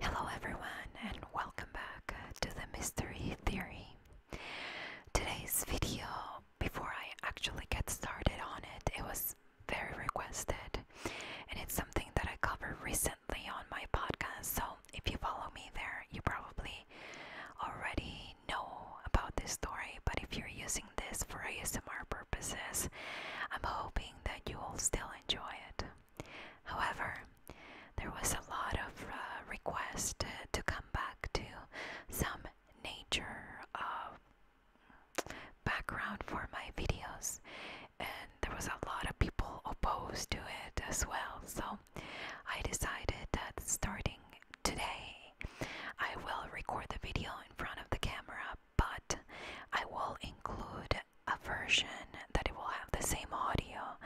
Hello, everyone, and welcome back to the Mystery Theory. Today's video, before I actually get started on it, it was very requested, and it's something that I covered recently on my podcast. So if you follow me there, you probably already know about this story. But if you're using this for ASMR purposes, I'm hoping that you will still enjoy it. However, there was a lot of uh, requests to, come back to some nature uh, background for my videos, and there was a lot of people opposed to it as well. So I decided that starting today, I will record the video in front of the camera, but I will include a version that it will have the same audio,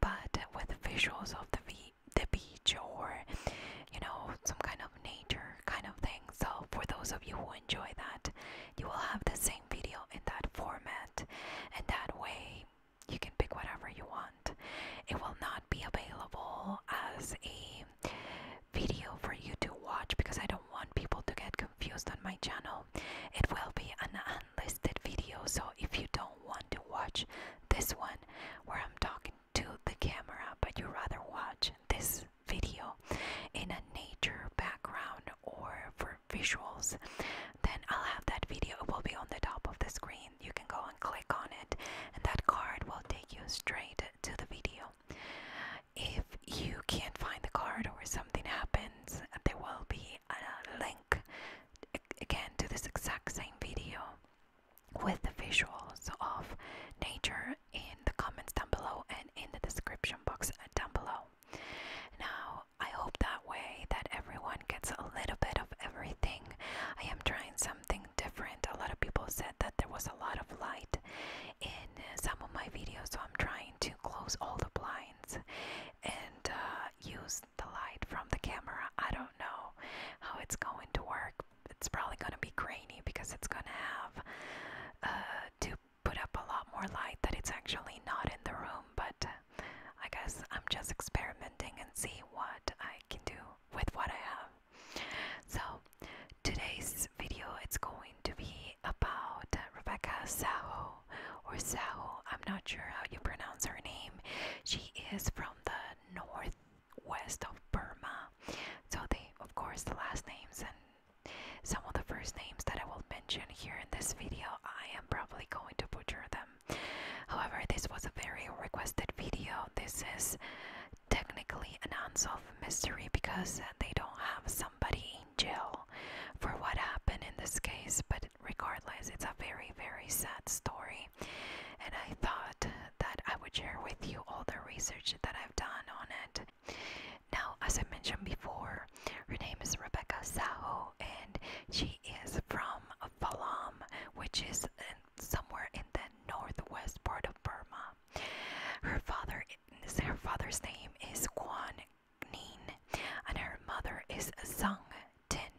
but with visuals of the v the beach or you know some kind of nature kind of thing. So for those of you who enjoy that, you will have the same video in that format, and that way you can pick whatever you want. It will not be available as a video for you to watch because I don't want people to get confused on my channel. It will be an unlisted video, so if you don't want to watch this one where I'm talking to the camera, but you rather watch this video in a nature background or for visuals, then I'll have that video. It will be on the top of the screen. You can go and click on it, and that card will take you straight to the video. If you can't find the card or something happens, there will be a link again to this exact same video with the visuals of nature in the comments down below and in the description box down below. Now, I hope that way that everyone gets a little bit of everything. I am trying something different. A lot of people said that there was a lot of light in some of my videos, so I'm trying to close all the blinds and uh, use the light from the camera. I don't know how it's going to work. It's probably going to be grainy because it's going to have uh, two put up a lot more light that it's actually not in the room, but I guess I'm just experimenting and see what I can do with what I have. So today's video it's going to be about Rebecca Sao or Sao. I'm not sure how you pronounce her name. She is from the northwest of Burma. So they of course the last names and some of the first names that I will mention here in this video, I am probably going to butcher them. However, this was a very requested video. This is technically an unsolved mystery because they don't have somebody in jail for what happened in this case, but regardless, it's a very, very sad story. And I thought that I would share with you all the research that I've done on it. Now, as I mentioned before, her. name is Rebecca Saho, and she is from Falam, which is somewhere in the northwest part of Burma. Her father, her father's name is Kwan Nin, and her mother is Zhang Tin.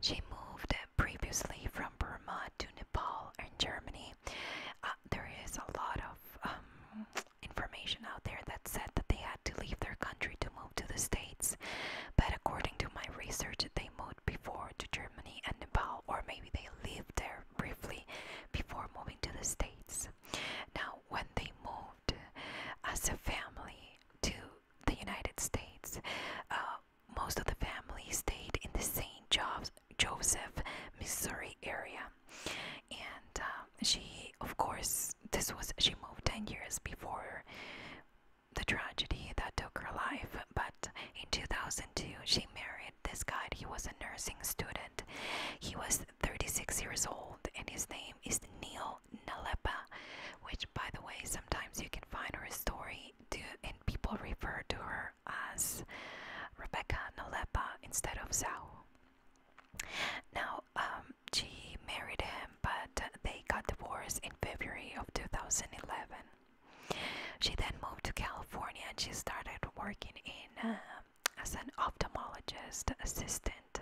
She moved previously from Burma to Nepal and Germany. Uh, there is a lot of um, information out there that said that they had to leave their country to move to the States, but according to my research, they moved before to Germany and Nepal, or maybe they lived there briefly before moving to the States. Now, when they moved as a family to the United States, uh, most of the family stayed in the St. Jo Joseph, Missouri area, and uh, she, of course, this was she moved 10 years before the tragedy that took her life but in 2002 she married this guy he was a nursing student he was 36 years old and his name is Neil Nalepa which by the way sometimes you can find her story to, and people refer to her as Rebecca Nalepa instead of Zhao now, um, she married him, but they got divorced in February of 2011. She then moved to California and she started working in uh, as an ophthalmologist assistant.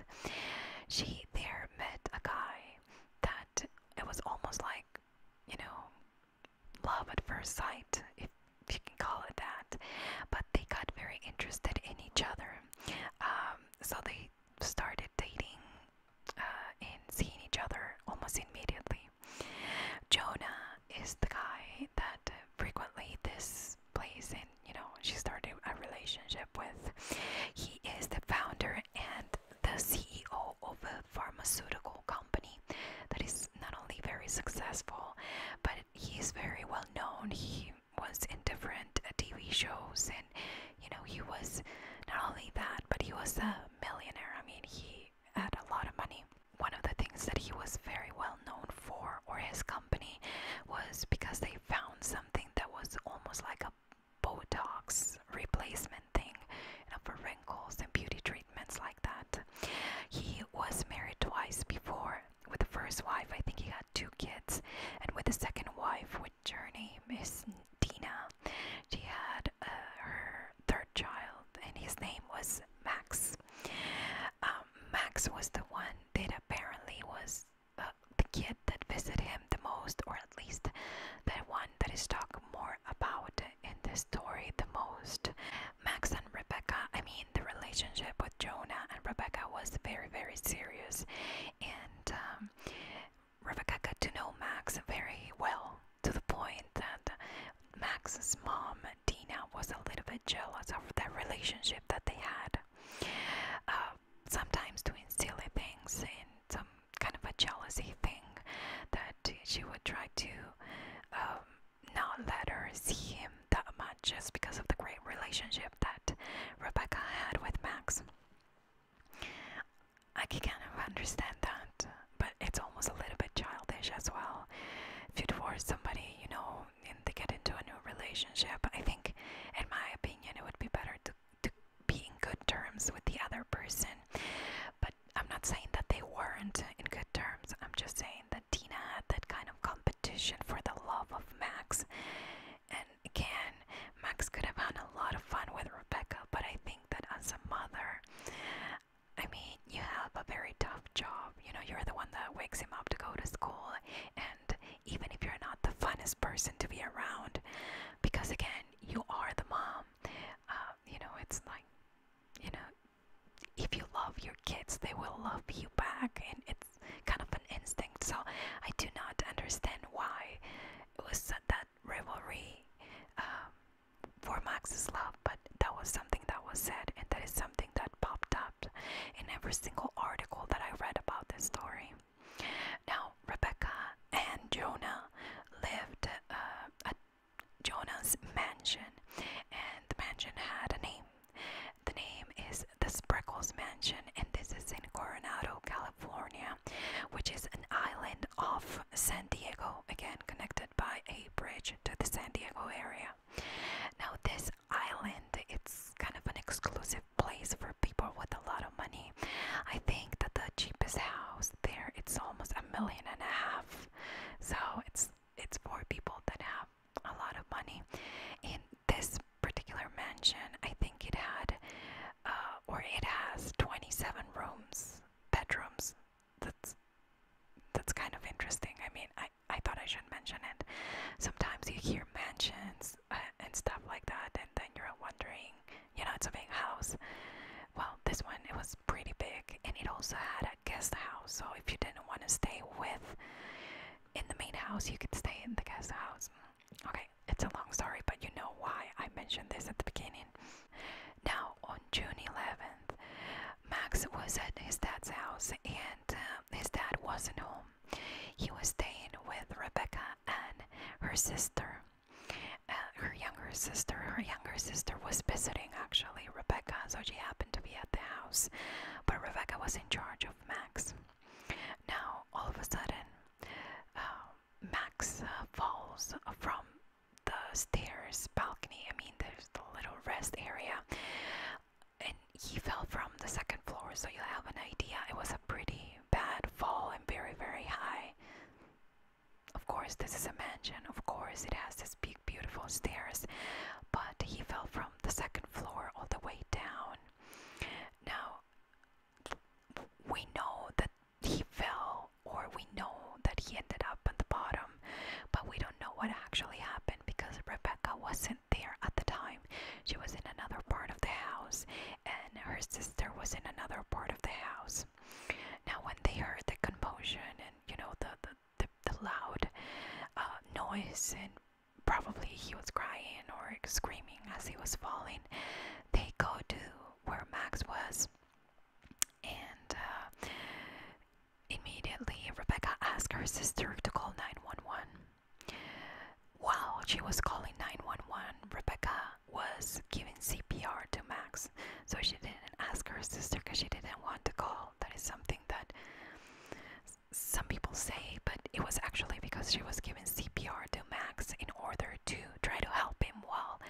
She there met a guy that it was almost like, you know, love at first sight, if you can call it that. But they got very interested in each other. Um, so they started dating uh, and seeing each other almost immediately. Jonah is the guy that frequently this place and you know she started a relationship with. He is the founder and the CEO of a pharmaceutical company that is not only very successful, but he is very well known. He was in different uh, TV shows, and you know, he was not only that, but he was a millionaire. I mean, he had a lot of money. One of the things that he was very well known for, or his company, was because they found something that was almost like a Botox replacement thing you know, for wrinkles and beauty treatments like that. He was married twice before with the first wife, I think he had two kids, and with the second wife, which her name is Dina, she had uh, her third child, and his name was Max. Um, Max was the one that apparently was uh, the kid that visited him the most, or at least the one that is talked more about in the story the most. Max and Rebecca, I mean, the relationship with Jonah and Rebecca was very very, serious. And um, got to know Max very well to the point that Max's mom, Dina, was a little bit jealous of that relationship that they had. Uh, sometimes doing silly things and some kind of a jealousy thing that she would try to um, not let her see him that much just because of the great relationship that Rebecca had with Max. I can kind of understand that, but it's almost a little bit childish as well. If you divorce somebody, you know, and they get into a new relationship, I think, in my opinion, it would be better to, to be in good terms with the other person. But I'm not saying that they weren't in good terms, I'm just saying that Tina had that kind of competition for the love of Max. And again, Max could have had a lot of fun with Rebecca, but I think that as a mother, I mean, you have a very tough job. You know, you're the one that wakes him up to go to school, and even if you're not the funnest person to be around, because again, you are the mom. Uh, you know, it's like, you know, if you love your kids, they will love you back, and it kind of an instinct. So I do not understand why it was said that rivalry um, for Max's love, but that was something that was said, and that is something that popped up in every single article that I read about this story. Now, Rebecca and Jonah lived uh, at Jonah's mansion, and the mansion had a name. The name is the Spreckles Mansion, and this is in Coronado, California, which is an island off San Diego, again connected by a bridge to the San Diego area. Now, this island, it's kind of an exclusive place for people with a lot of money. I think that the cheapest house there, it's almost a million and a half. So it's it's for people that have a lot of money. In this particular mansion, I think it had, uh, or it has 27 rooms, bedrooms. That's that's kind of interesting. I mean, I, I thought I should mention it. Sometimes you hear mansions uh, and stuff like that, and then you're wondering, you know, it's a big house. Well, this one, it was pretty big, and it also had a guest house. So if you didn't want to stay with in the main house, you could stay in the guest house. Okay, it's a long story, but you know why I mentioned this at the beginning. Now, on June 11th, Max was at his dad's house and um, his dad wasn't home. He was staying with Rebecca and her sister. Uh, her younger sister, her younger sister was visiting actually Rebecca, so she happened to be at the house. But Rebecca was in charge Max. Now, all of a sudden, uh, Max uh, falls from the stairs balcony. I mean, there's the little rest area, and he fell from the second floor. So you have an idea. It was a pretty bad fall and very, very high. Of course, this is a mansion. Of course, it has these big, beautiful stairs. But he fell from the second floor all the way down. Now, we know that he fell, or we know that he ended up at the bottom, but we don't know what actually happened because Rebecca wasn't there at the time. She was in another part of the house, and her sister was in another part of the house. Now, when they heard the commotion and you know the the the, loud uh, noise and probably he was crying or screaming as he was falling, they go to where Max was. And uh, immediately Rebecca asked her sister to call 911. While she was calling 911, Rebecca was giving CPR to Max. So she didn't ask her sister because she didn't want to call. That is something that some people say, but it was actually because she was given CPR to Max in order to try to help him while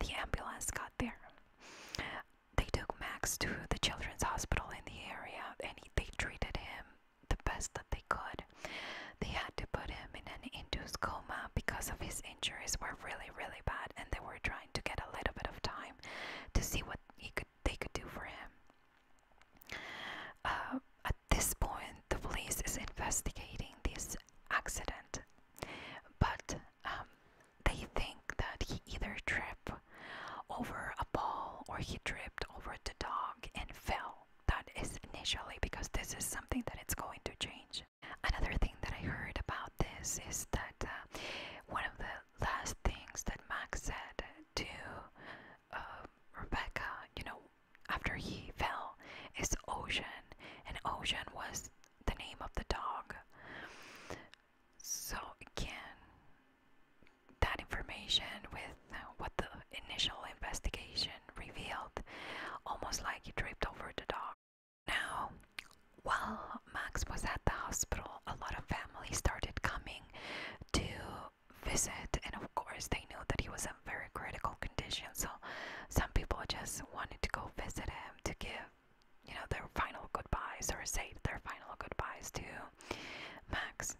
the ambulance got there. They took Max to the children's hospital in the area and they treated him the best that they could. They had to put him in an induced coma because of his injuries were really, really bad and they were trying to get a little bit of time to see what he could they could do for him. Uh, at this point, the police is investigating this accident, but um, they think that he either tripped over a ball or he tripped over the dog and fell. That is initially because this is something that it's going to change. Another thing that I heard about this is that uh, one of the last things that Max said to um, Rebecca, you know, after he fell, is Ocean, and Ocean was the name of the dog. So, again, that information with uh, what the initial investigation revealed, almost like he tripped over the dog. Now, while Max was at the hospital, a lot of families started coming to visit, and of course, they knew that he was in very critical condition. So, some people just wanted to go visit him to give, you know, their final goodbyes or say their final goodbyes to Max.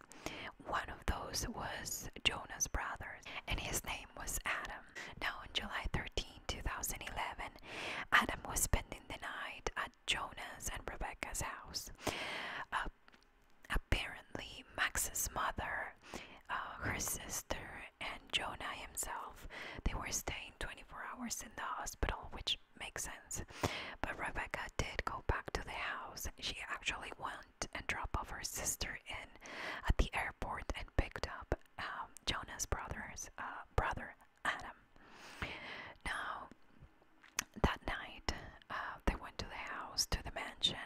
One of those was Jonas brother, and his name was Adam. Now, on July 13, 2011, Adam was spending the night at Jonah's and Rebecca's house. Uh, apparently, Max's mother, uh, her sister, and Jonah himself, they were staying 24 hours in the hospital, which makes sense. But Rebecca did go back to the house. She actually went and dropped off her sister in at the airport and picked up um, Jonah's brother's uh, brother Adam. Now, that night, uh, they went to the house, to the mansion,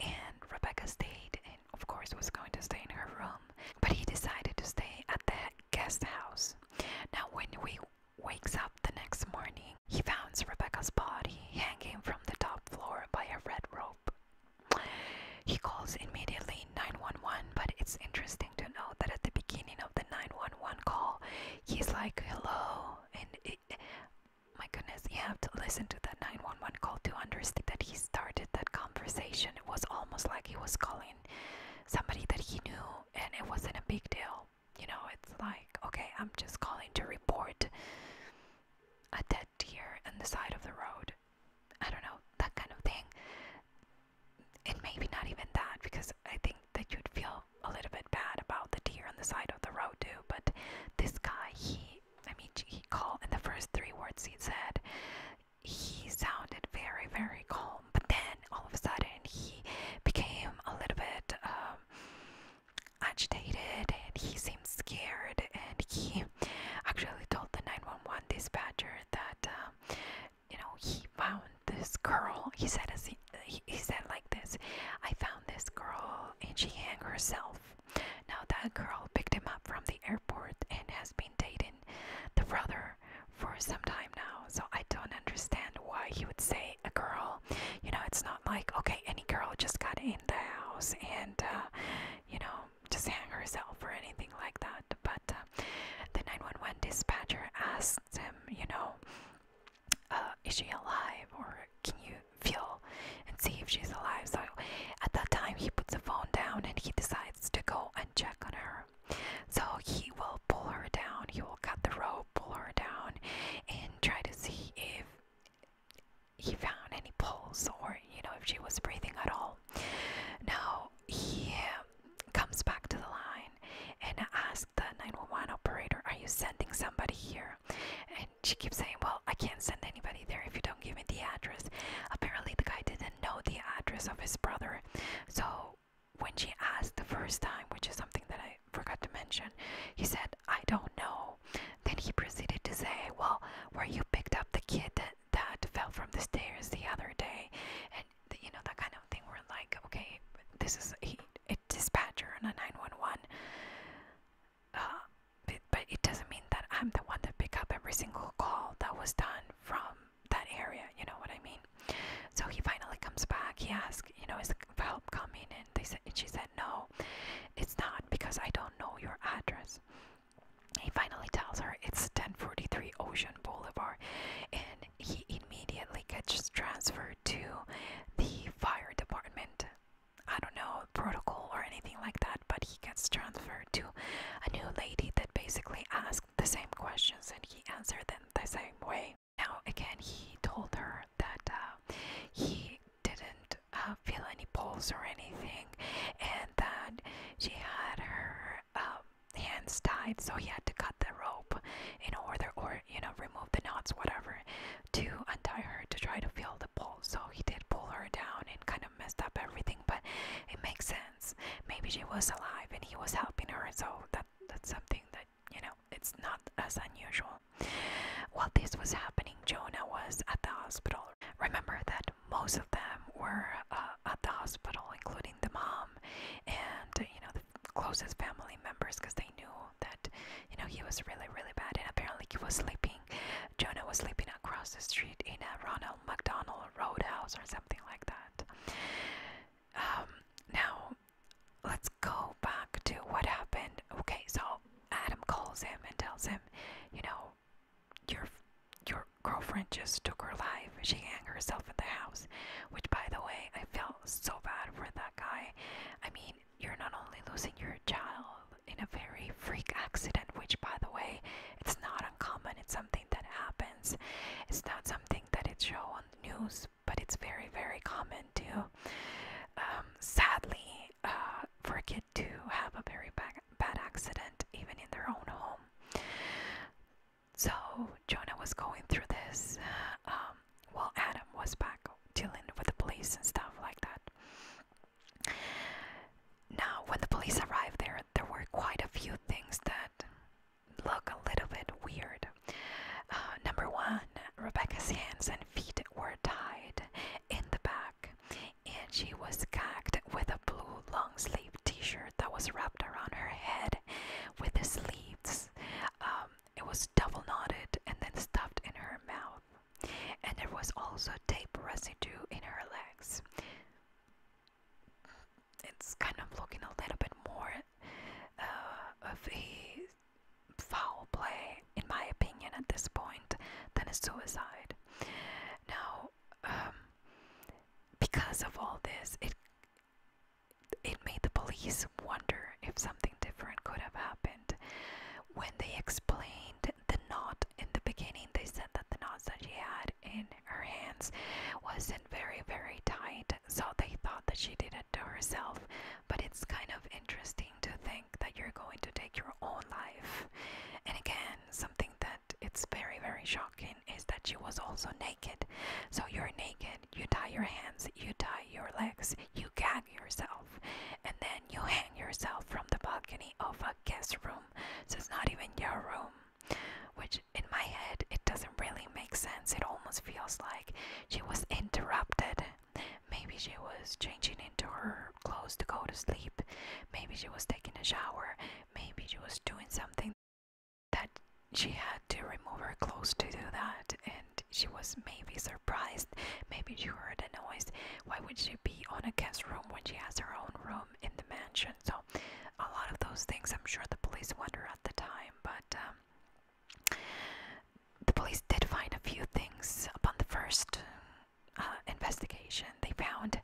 and Rebecca stayed, and of course, was going to stay in her room, but he decided to stay at the guest house. Now, when we wakes up the next morning, he finds Rebecca's body hanging from the top floor by a red rope. He calls immediately 911, but it's interesting to note that at the beginning of the 911 call, he's like, hello. And my goodness, you have to listen to that 911 call to understand that he started that conversation. It was almost like he was calling somebody that he knew, and it wasn't a big deal. You know, it's like, okay, I'm just calling to report a dead deer on the side of the road. I don't know, that kind of thing. And maybe not even that, because I think that you'd feel a little bit bad about the deer on the side of the road too. But this guy, he, I mean, he called in the first three words he said. He sounded very, very calm, but then all of a sudden he became a little bit um, agitated, and he seemed scared. And he actually told the 911 dispatcher that um, you know he found this girl he said he, said like this i found this girl and she hanged herself now that girl picked him up from the airport and has been dating the brother for some time now so i don't understand why he would say a girl you know it's not like okay any girl just got in the house and uh, you know just hang herself or anything like that but uh, the 911 dispatcher asked him you know uh, is she alive or can you feel and see if she's alive? So at that time, he puts the phone down and he decides to go and check on her. So he will pull her down, he will cut the rope, pull her down, and try to see if he found any pulse or you know if she was breathing at all. Now he comes back to the line and as the 911 operator, Are you sending somebody here? And she keeps saying, Well, I can't send anybody there if you don't give me the address. Apparently, the guy didn't know the address of his brother. So, when she asked the first time, which is something that I forgot to mention, he said, I don't know. Then he proceeded to say, Well, where you picked up the kid that, that fell from the stairs the other day. And and you know that kind of thing where like okay this is a, a dispatcher on a 911 uh, but, it doesn't mean that i'm the one that pick up every single call that was done from that area you know what i mean so he finally comes back he asks, you know is help coming and they said and she said no it's not because i don't know your address he finally tells her it's 1043 Ocean Boulevard, and he immediately gets transferred to the fire department. I don't know, protocol or anything like that, but he gets transferred to a new lady that basically asked the same questions and he answered them the same way. Now, again, he told her that uh, he didn't uh, feel any pulse or anything and that she had her uh, hands tied, so he had to cut the rope in order, or you know, remove the knots, whatever, to untie her to try to feel the pull. So he did pull her down and kind of messed up everything, but it makes sense. Maybe she was alive and he was helping her, so that that's something that you know it's not as unusual. While this was happening, Jonah was at the hospital. Remember that most of them were uh, at the hospital, including the mom and you know the closest family members because they knew that you know he was really really bad and apparently he was sleeping jonah was sleeping across the street in a ronald mcdonald roadhouse or something like that um, now let's go back to what happened okay so adam calls him and tells him you know your your girlfriend just took her life she hanged herself in the house which by the way i felt so bad for that guy. I mean, you're not only losing your child in a very freak accident, which, by the way, it's not uncommon, it's something that happens. It's not something that it's shown on the news, but it's very, very common too. Um, sadly, uh, for a kid to have a very bad, bad accident, even in their own home. So Jonah was going through this uh, um, while Adam was back dealing with the police and stuff like that. Now, when the police arrived there, there were quite a few things that look a little bit weird. Uh, number one, Rebecca's hands and feet were tied in the back, and she was gagged with a blue long sleeve t shirt that was wrapped around her head with the sleeves um, it was double knotted and then stuffed in her mouth, and there was also tape residue in her legs. It's kind of looking a little bit more uh, of a foul play, in my opinion, at this point, than a suicide. Now, um, because of all this, it it made the police wonder if something different could have happened. When they explained the knot in the beginning, they said that the knot that she had in her hands wasn't very, very tight, so they thought that she did it to herself. But it's kind of interesting to think that you're going to take your own life. And again, something that it's very, very shocking is that she was also naked. So you're naked you tie your hands, you tie your legs, you gag yourself, and then you hang yourself from the balcony of a guest room. So it's not even your room. Which in my head, it doesn't really make sense. It almost feels like she was interrupted. Maybe she was changing into her clothes to go to sleep. Maybe she was taking a shower. Maybe she was doing something that she had to remove her clothes to do that and she was maybe surprised maybe she heard a noise why would she be on a guest room when she has her own room in the mansion so a lot of those things i'm sure the police wonder at the time but um, the police did find a few things upon the first uh, investigation they found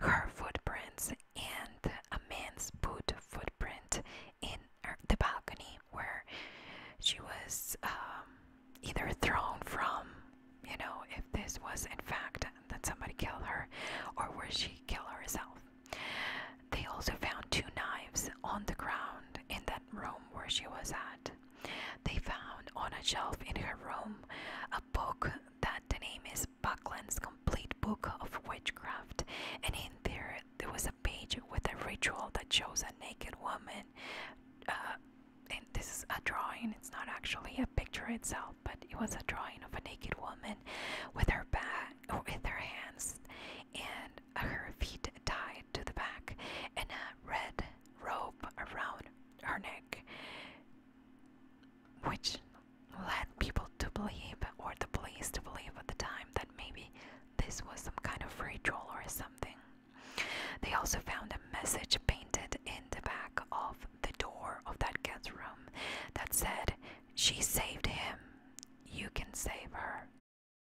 her footprints and a man's boot footprint in er, the balcony where she was um, either thrown from, you know, if this was in fact that somebody killed her, or where she killed herself. They also found two knives on the ground in that room where she was at. They found on a shelf in her room a book that the name is Buckland's Complete Book of Witchcraft, and in there there was a page with a ritual that shows a naked woman uh, and this is a drawing it's not actually a picture itself but it was a drawing of a naked woman with her back with her hands and her feet tied to the back and a red rope around her neck which led people to believe, or the police to believe at the time, that maybe this was some kind of ritual or something. They also found a message painted in the back of the door of that guest room that said, She saved him, you can save her.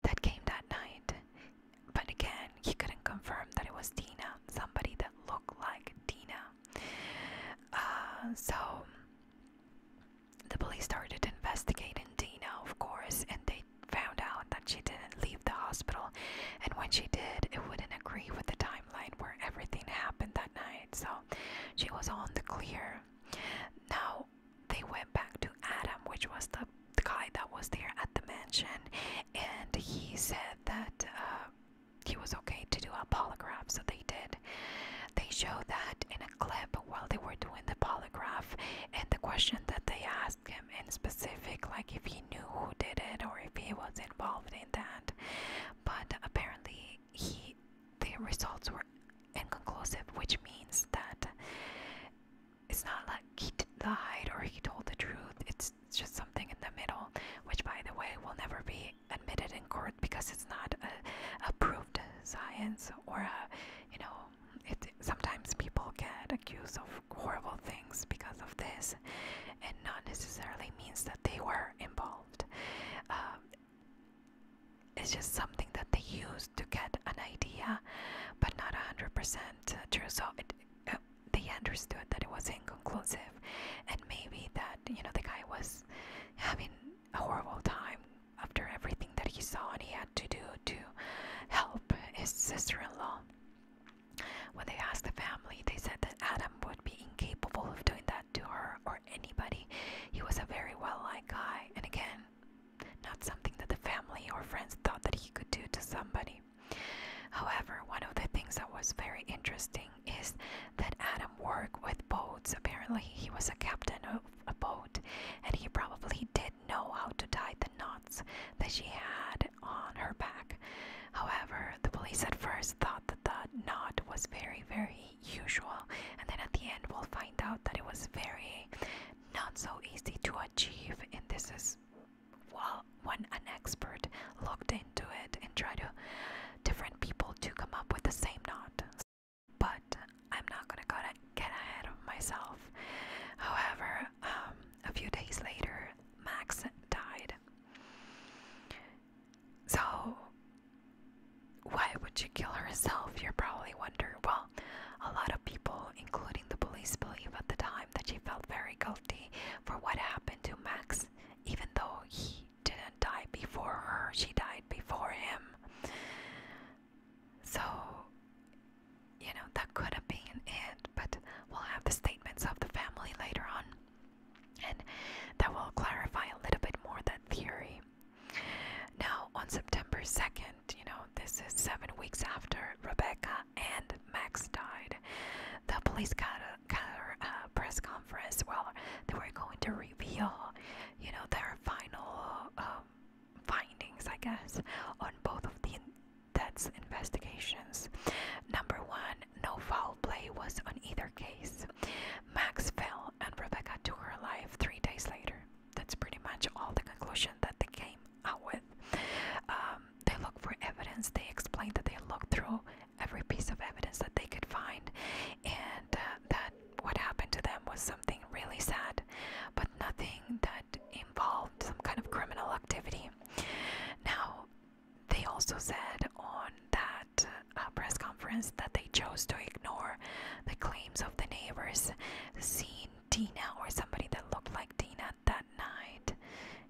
That came that night, but again, he couldn't confirm that it was Tina, somebody that looked like Tina. Uh, so the police started investigating Dina, of course, and they found out that she didn't leave the hospital. And when she did, it wouldn't agree with the timeline where everything happened that night. So she was on the clear. Now they went back to Adam, which was the, the guy that was there at the mansion, and he said that uh, he was okay to do a polygraph. So they did. They show that in a clip while they were doing the polygraph, and the question that they asked him in specific, like if he knew who did it or if he was involved in that. But apparently, he the results were inconclusive, which means that it's not like he lied or he told the truth. It's just something in the middle, which, by the way, will never be admitted in court because it's not a, a science or a, you know, it, sometimes people get accused of horrible things because of this and not necessarily means that they were involved. Um, it's just something that they used to get an idea, but not 100% true. So uh, they understood that it was inconclusive, and maybe that you know the guy was having a horrible time after everything that he saw and he had to do to help his sister-in-law. When they asked the family, they said that Adam would be incapable of doing that to her or anybody. He was a very well-liked guy, and again, not something that the family or friends thought that he could do to somebody. However, one of the things that was very interesting is that Adam worked with boats. Apparently, he was a captain of a boat, and he probably did know how to tie the knots that she had on her back. However, the police at first thought that the knot was very, very usual, and then at the end, we'll find out that it was very not so easy to achieve. And this is well, when an expert looked into it and tried to different people to come up with the same knot but I'm not gonna get ahead of myself. However, um, a few days later, Max died. So, why would she kill herself? You're probably wondering. Well, a lot of people, including the police, believe at the time that she felt very guilty for what happened to Max, even though he didn't die before her, she died before him. So, you know, that could have been it, but we'll have the statements of the family later on, and that will clarify a little bit more that theory. Now, on September 2nd, you know, this is seven weeks after Rebecca and Max died, the police got a, uh, press conference where they were going to reveal, you know, their final um, findings, I guess, on both of the deaths investigations. Number one, no foul play was on either case. Max fell and Rebecca took her alive three days later. That's pretty much all the conclusion that they came out with. Um, they look for evidence. They explained that they looked through every piece of evidence that they could find and uh, that what happened to them was something really sad, but nothing that involved some kind of criminal activity. Now, they also said on that uh, press conference that they chose to ignore the claims of the neighbors seeing Dina or somebody that looked like Dina that night,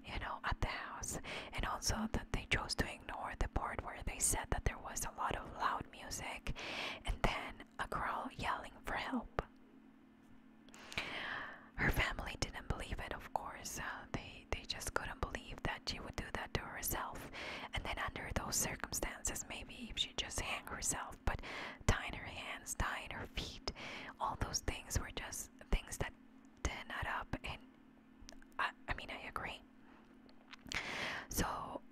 you know, at the house, and also that they chose to ignore ignore the part where they said that there was a lot of loud music and then a girl yelling for help. Her family didn't believe it, of course. Uh, they they just couldn't believe that she would do that to herself. And then under those circumstances, maybe if she just hang herself, but tying her hands, tying her feet, all those things were just things that didn't add up. And I, I mean, I agree. So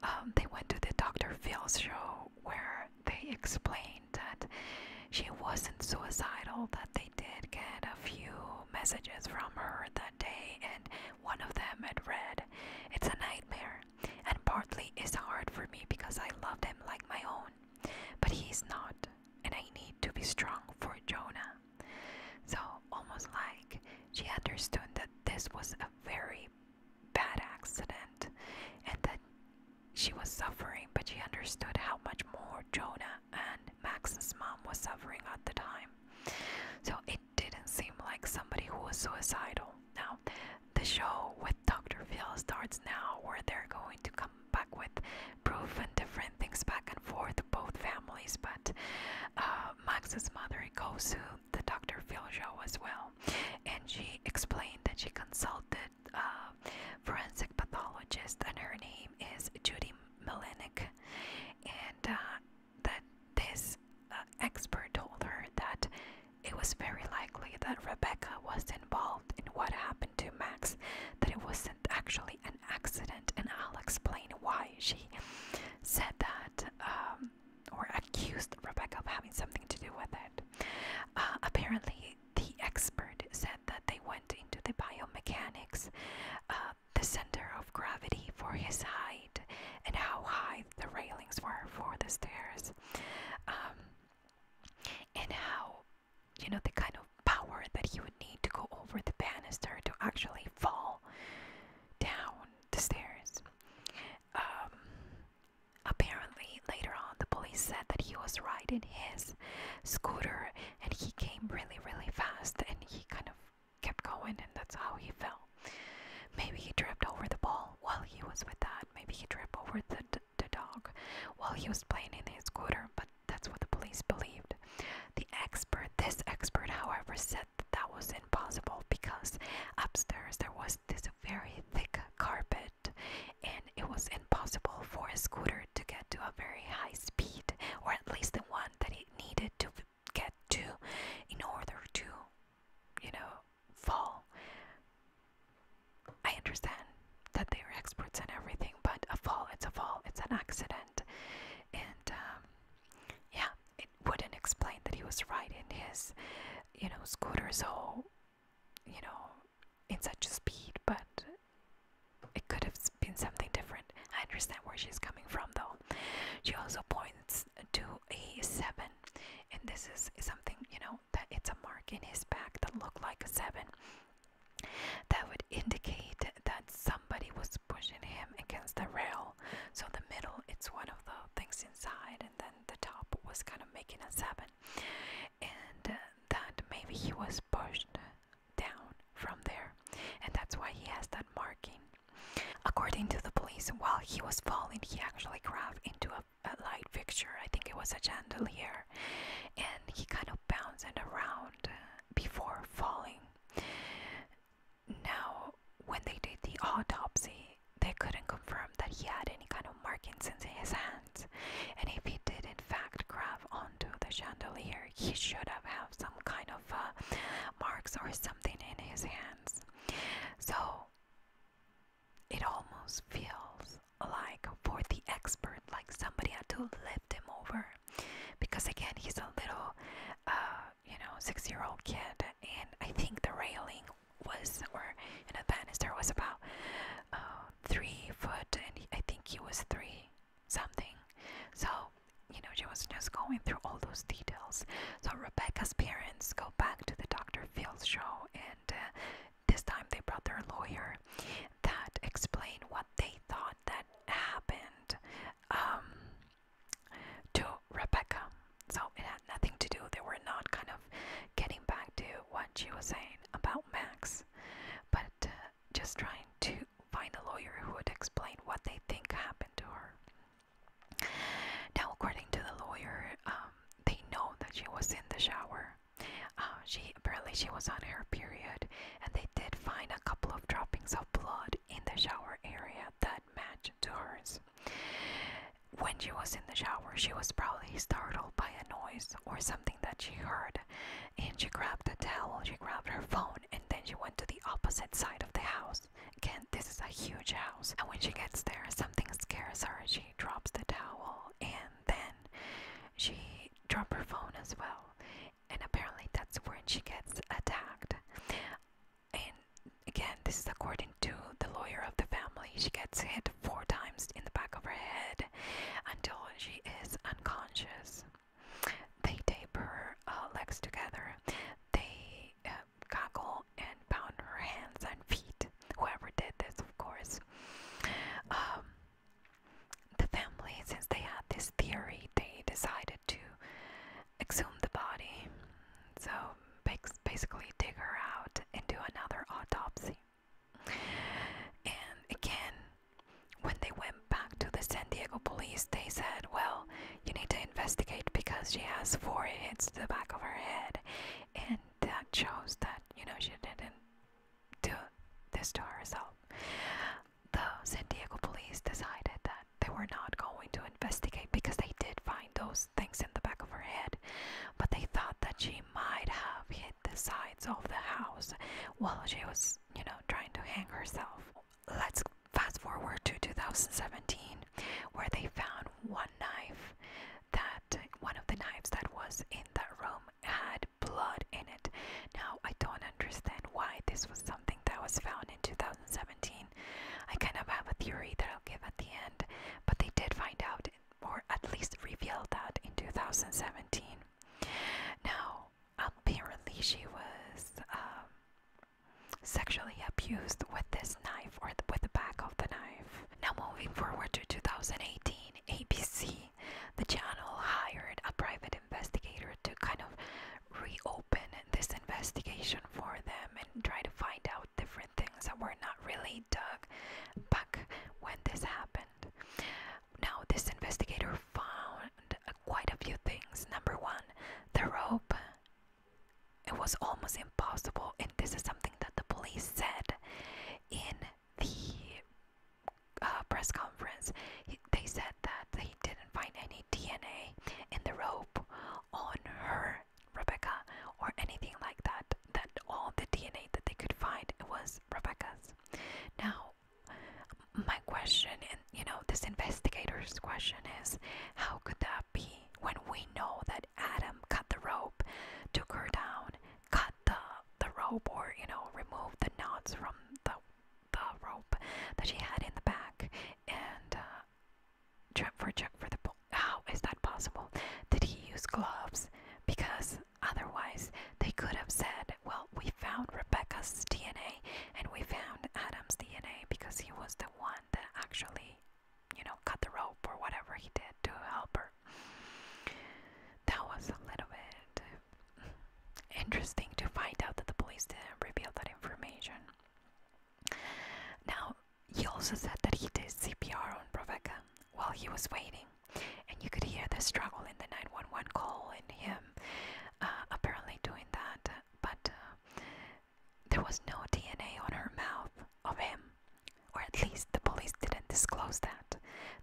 um, they went to the Dr. Phil show where they explained that she wasn't suicidal, that they did get a few messages from her that day, and one of them had read, It's a nightmare, and partly is hard for me because I love him like my own, but he's not, and I need to be strong for Jonah. So, almost like she understood that this was a very bad accident and that she was suffering, but she understood how much more Jonah and Max's mom was suffering at the time. So it didn't seem like somebody who was suicidal. Now, the show with Dr. Phil starts now, where they're going to come back with proof and different things back and forth, both families. But uh, Max's mother goes to the Dr. Filjo as well, and she explained that she consulted a uh, forensic pathologist, and her name is Judy Melenick, and uh, that this uh, expert told her that it was very likely that Rebecca was involved in what happened to Max, that it wasn't actually an accident, and I'll explain why she said that. Um, or accused Rebecca of having something to do with it. Uh, apparently, the expert said that they went into the biomechanics, uh, the center of gravity for his height, and how high the railings were for the stairs, um, and how, you know, the kind of power that he would need to go over the banister to actually fall down the stairs. Um, apparently, later on, the police said that he was riding his scooter and he came really, really fast and he kind of kept going, and that's how he fell. Maybe he tripped over the ball while he was with that. Maybe he tripped over the, the dog while he was playing in his scooter, but that's what the police believed. The expert, this expert, however, said that, was impossible because upstairs there was this very thick carpet and it was impossible for a scooter to get to a very high speed or at least the one that it needed to get to in order to you know fall i understand that they are experts in everything but a fall it's a fall it's an accident and um, yeah it wouldn't explain that he was riding his, you know, scooter so, you know, in such a speed, but it could have been something different. I understand where she's coming from though. She also points to a seven, and this is something, you know, that it's a mark in his back that looked like a seven. That would indicate that somebody was pushing him against the rail so the middle, it's one of the things inside, and then the top was kind of making a seven, and uh, that maybe he was pushed down from there, and that's why he has that marking. According to the police, while he was falling, he actually crashed into a, a light fixture. I think it was a chandelier, and he kind of bounced around uh, before falling. Now, when they did the autopsy, they couldn't confirm that he had any kind of markings in his hands, and if he did in fact grab onto the chandelier, he should have had some kind of uh, marks or something in his hands. So it almost feels like for the expert, like somebody had to lift him over, because again, he's a little uh, you know, six year old kid, and I think the railing was, or you know, the banister was about uh, three foot, and I think he was three something. So, you know, she was just going through all those details. So, Rebecca's parents go back to the Dr. Phil's show, and uh, this time they brought their lawyer that explained what they thought that happened. Um, to Rebecca. So it had nothing to do, they were not kind of getting back to what she was saying about Max, but uh, just trying to find a lawyer who would explain what they think happened to her. Now, according to the lawyer, um, they know that she was in the shower. Uh, she apparently she was on her period, and they did find a couple of droppings of blood in the shower area that that to hers. When she was in the shower, she was probably startled by a noise or something that she heard, and she grabbed a towel, she grabbed her phone, and then she went to the opposite side of the house. Again, this is a huge house, and when she gets there, something scares her. She drops the towel, and then she dropped her phone as well, and apparently that's when she gets attacked and again, this is according to the lawyer of the family. She gets hit four times in the back of her head until she is unconscious. They tape her uh, legs together. They uh, gaggle and bound her hands and feet. Whoever did this, of course. Um, the family, since they had this theory, they decided to exhume the body. So basically, dig her out and do another autopsy. And again, when they went back to the San Diego police, they said, Well, you need to investigate because she has four hits to the back of her head. And that shows that, you know, she didn't do this to herself the San Diego police decided that they were not going to investigate because they did find those things in the back of her head, but they thought that she might have hit the sides of the house while she was, you know, trying to hang herself. Let's fast forward to 2017, where they found one knife that one of the knives that was in that room had blood in it. Now, I don't understand why this was something that was found in 2017 I kind of have a theory that I'll give at the end, but they did find out, or at least revealed that in 2017. Now, apparently, she was um, sexually abused with this knife or with the back of the knife. Now, moving forward to 2018, ABC, the channel hired a private investigator to kind of reopen this investigation for them and try to find out different things that were not really dug back when this happened. Now, this investigator found quite a few things. Number one, the rope. It was almost impossible, and this is something that the police said in the uh, press conference they said that they didn't find any DNA in the rope on her, Rebecca, or anything like that. That all the DNA that they could find was Rebecca's. Now, my question, and you know, this investigator's question is how could that be when we know that Adam cut the rope, took her down, cut the, the rope, or you know, removed the knots from the the rope that she had in the back and check uh, for check for the. How is that possible? Did he use gloves? Because otherwise they could have said, "Well, we found Rebecca's DNA and we found Adam's DNA because he was the one that actually, you know, cut the rope or whatever he did to help her." That was a little bit interesting to find out that the police didn't reveal that information. Now, he also said that he did CPR on Rebecca while he was waiting, and you could hear the struggle in the 911 call in him uh, apparently doing that, but uh, there was no DNA on her mouth of him, or at least the police didn't disclose that.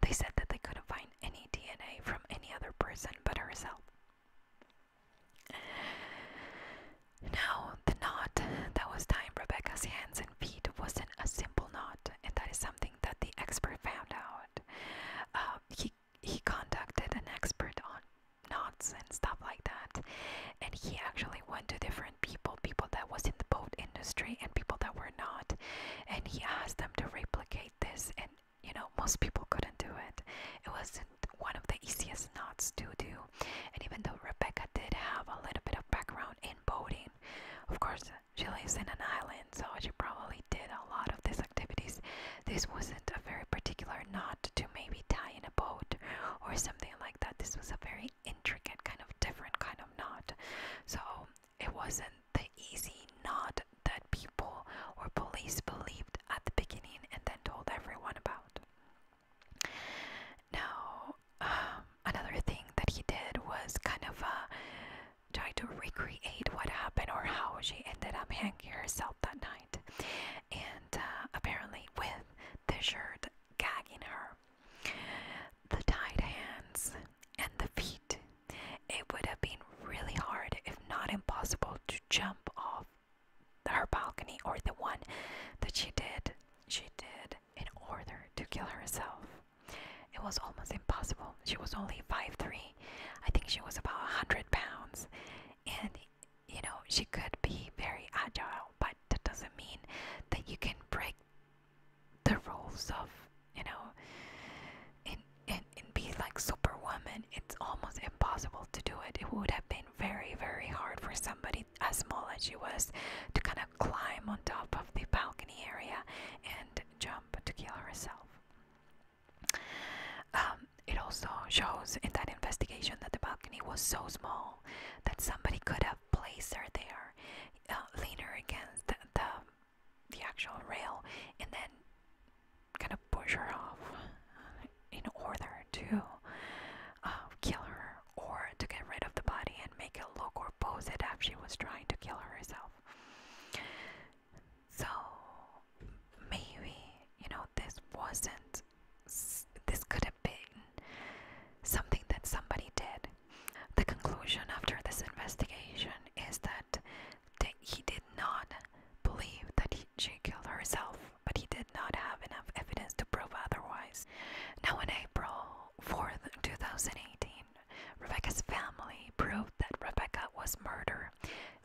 They said that they couldn't find any DNA from any other person but herself. Now, the knot that was tying Rebecca's hands and feet wasn't a simple knot, and that is something that the expert found out. Uh, he he contacted an expert on knots and stuff like that, and he actually went to different people, people that was in the boat industry and people that were not, and he asked them to replicate this and you know, most people couldn't do it. It wasn't one of the easiest knots to do. And even though Rebecca did have a little bit of background in boating, of course, she lives in an island, so she probably did a lot of these activities. This wasn't a very particular knot to maybe tie in a boat or something like that. This was a very intricate, kind of different kind of knot. So it wasn't the easy knot that people or police believed at the beginning and then told everyone about. Now, um, another thing that he did was kind of uh, try to recreate what happened or how she ended up hanging herself that night, and uh, apparently with the shirt gagging her. The tied hands and the feet. It would have been really hard, if not impossible, to jump off her balcony or the one that she did she did in order to kill herself. It was almost impossible. She was only five three. I think she was about 100 pounds. And, you know, she could be very agile, but that doesn't mean that you can break the rules of, you know, in, in and, be like Superwoman, it's almost impossible to do it. It would have been very, very hard for somebody as small as she was to kind of climb on top of the balcony area and jump to kill herself. Um, it also shows in that investigation that the balcony was so small that somebody could have placed her there, uh, leaner against the, the the actual rail, and then kind of push her off in order to uh, kill her or to get rid of the body and make it look or pose it as she was trying to kill herself. So maybe, you know, this wasn't, this could have been something that somebody did. The conclusion after this investigation is that he did not believe that she killed herself, but he did not have enough evidence to prove otherwise. Now, in April 4th, 2018, Rebecca's family proved that Rebecca was murdered,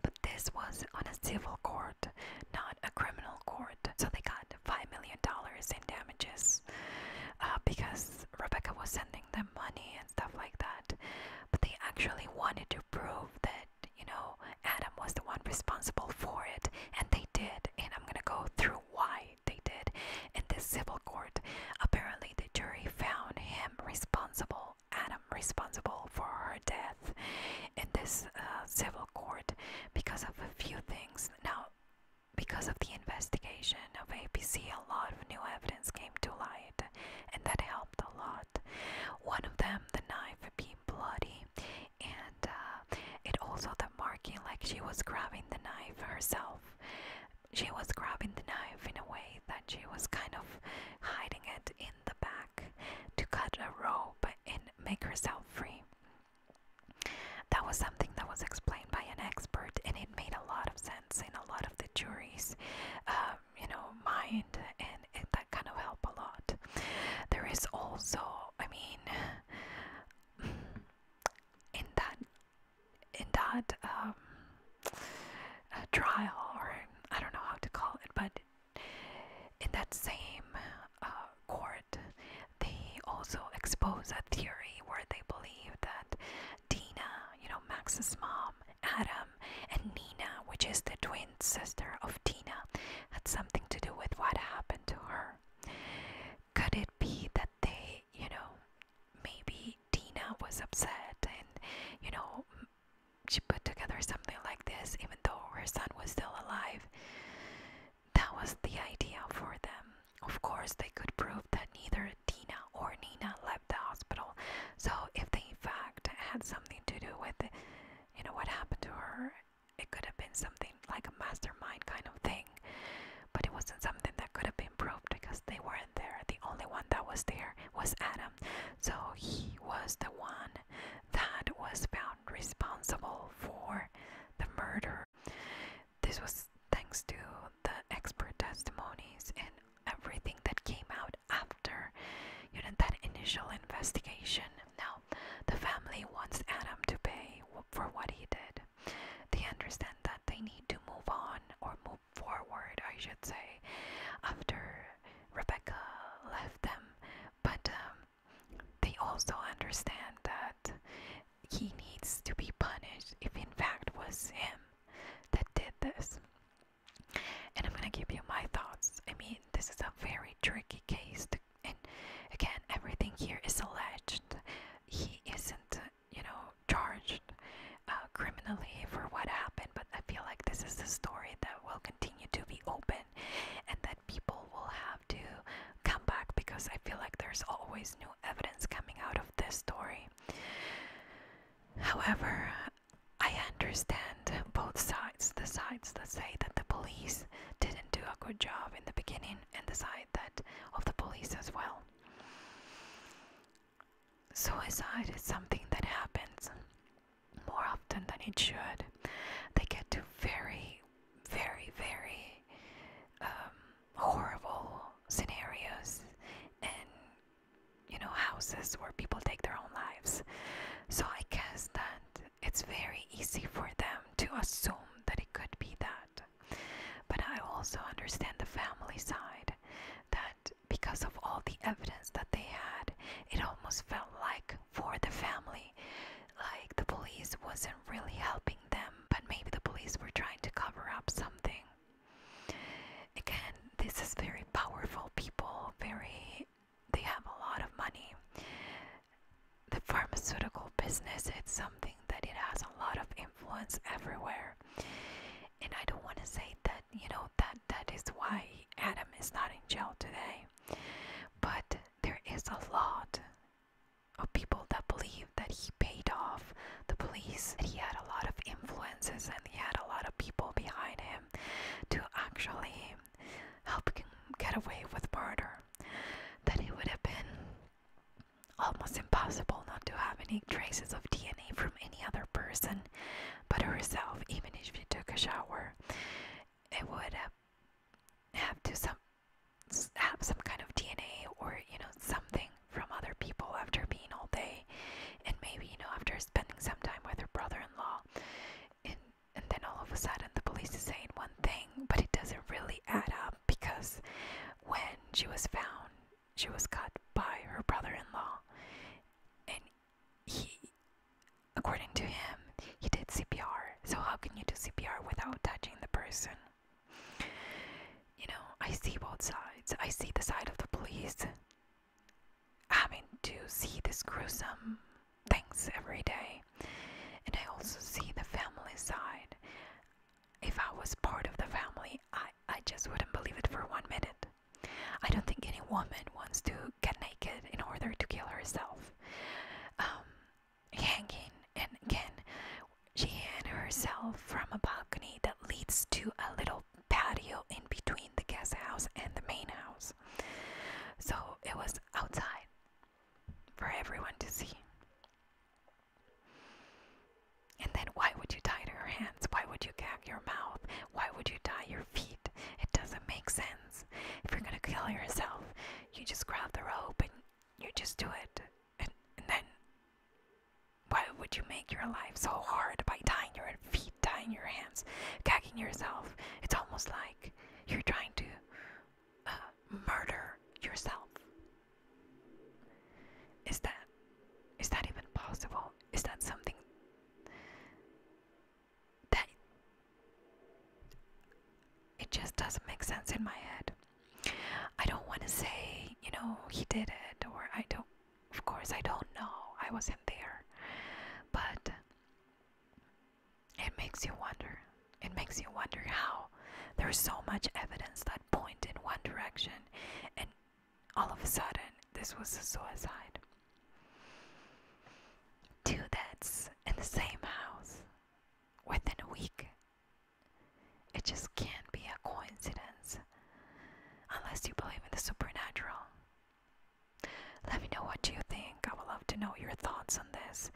but this was on a civil court, not a criminal court. So they got $5 million in damages uh, because Rebecca was sending them money and stuff like that. But they actually wanted to prove that you know, Adam was the one responsible for it, and they did. And I'm gonna go through why they did. In this civil court, apparently the jury found him responsible, Adam responsible for her death. In this uh, civil court, because of a few things. Now, because of the investigation of APC, a lot of new evidence came to light, and that helped a lot. One of them um, the knife being bloody and uh, it also the marking like she was grabbing the knife herself she was grabbing the knife in a way that she was kind of hiding it in the back to cut a rope and make herself free that was something that was explained by an expert and it made a lot of sense in a lot of the juries um, you know mind and, that kind of help a lot there is also i mean in that in that um, uh, trial or i don't know how to call it but in that same uh, court they also expose a theory where they believe that dina you know max's mom Adam and Nina, which is the twin sister of Tina, had something to do with what happened to her. Could it be that they, you know, maybe Tina was upset and, you know, she put together something like this even though her son was still alive? That was the idea for them. Of course, they could prove that neither Tina or Nina left the hospital, so if they in fact had something to do with, you know, what happened to her. It could have been something like a mastermind kind of thing, but it wasn't something that could have been proved because they weren't there. The only one that was there was Adam. So he was the one that was found responsible for the murder. This was thanks to the expert testimonies and everything that came out after you know that initial investigation. Now, the family wants Adam to pay for what he did. They understand that they need to move on or move forward, I should say, after Rebecca left them. But um, they also understand that he needs to be punished if, in fact, was him that did this. And I'm gonna give you my thoughts. I mean, this is a very tricky case, and again, everything here is alleged. He isn't, you know, charged uh, criminally for what happened, but I feel like this is a story that will continue to be open, and that people will have to come back because I feel like there's always new evidence coming out of this story. However, I understand both sides the sides that say that the police didn't do a good job in the beginning, and the side that of the police as well. Suicide is something that happens more often than it should. They get to very, very, very um, horrible scenarios and you know, houses where people take their own lives. So I guess that it's very easy for them to assume that it could be that. But I also understand the family side that because of all the evidence that they had, it almost felt like for the family, like the police wasn't really helping them, but maybe the police were trying to cover up something. Again, this is very powerful people, very they have a lot of money. The pharmaceutical business it's something that it has a lot of influence everywhere. And I don't want to say that, you know, that that is why Adam is not in jail today. But there is a lot of people that believe that he paid off the police, that he had a lot of influences and he had a lot of people behind him to actually help him get away with murder, that it would have been almost impossible not to have any traces of DNA from any other person but herself, even if she took a shower. It would have, have to some have some kind of DNA or you know something from other people after being all day and maybe, you know, after spending some time with her brother in law, and, and then all of a sudden the police is saying one thing, but it doesn't really add up because when she was found, she was cut by her brother in law. And he, according to him, he did CPR. So, how can you do CPR without touching the person? You know, I see both sides. I see the side of the police I mean, to see these gruesome things every day. And I also see the family side. If I was part of the family, I, I just wouldn't believe it for one minute. I don't think any woman wants to get naked in order to kill herself. Um, hanging and again, she hanged herself from a balcony that leads to a little patio in between the guest house and the main house. So it was outside for everyone to see. And then, why would you tie your hands? Why would you gag your mouth? Why would you tie your feet? It doesn't make sense. If you're gonna kill yourself, you just grab the rope and you just do it. and then, why would you make your life so hard by tying your feet tying your hands, gagging yourself. It's almost like you're trying to uh, murder yourself. Is that is that even possible? Is that something that it just doesn't make sense in my head? I don't want to say, you know, he did it or I don't of course, I don't know, I wasn't there, but it makes you wonder. It makes you wonder how there's so much evidence that point in one direction, and all of a sudden, this was a suicide. Two deaths in the same house within a week. It just can't be a coincidence unless you believe in the supernatural. Let me know what you think. I would love to know your thoughts on this.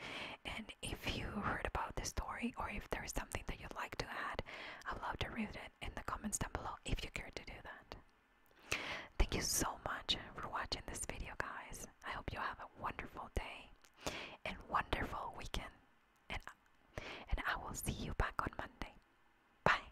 And if you heard about this story or if there is something that you'd like to add, I would love to read it in the comments down below if you care to do that. Thank you so much for watching this video, guys. I hope you have a wonderful day and wonderful weekend. And, and I will see you back on Monday. Bye.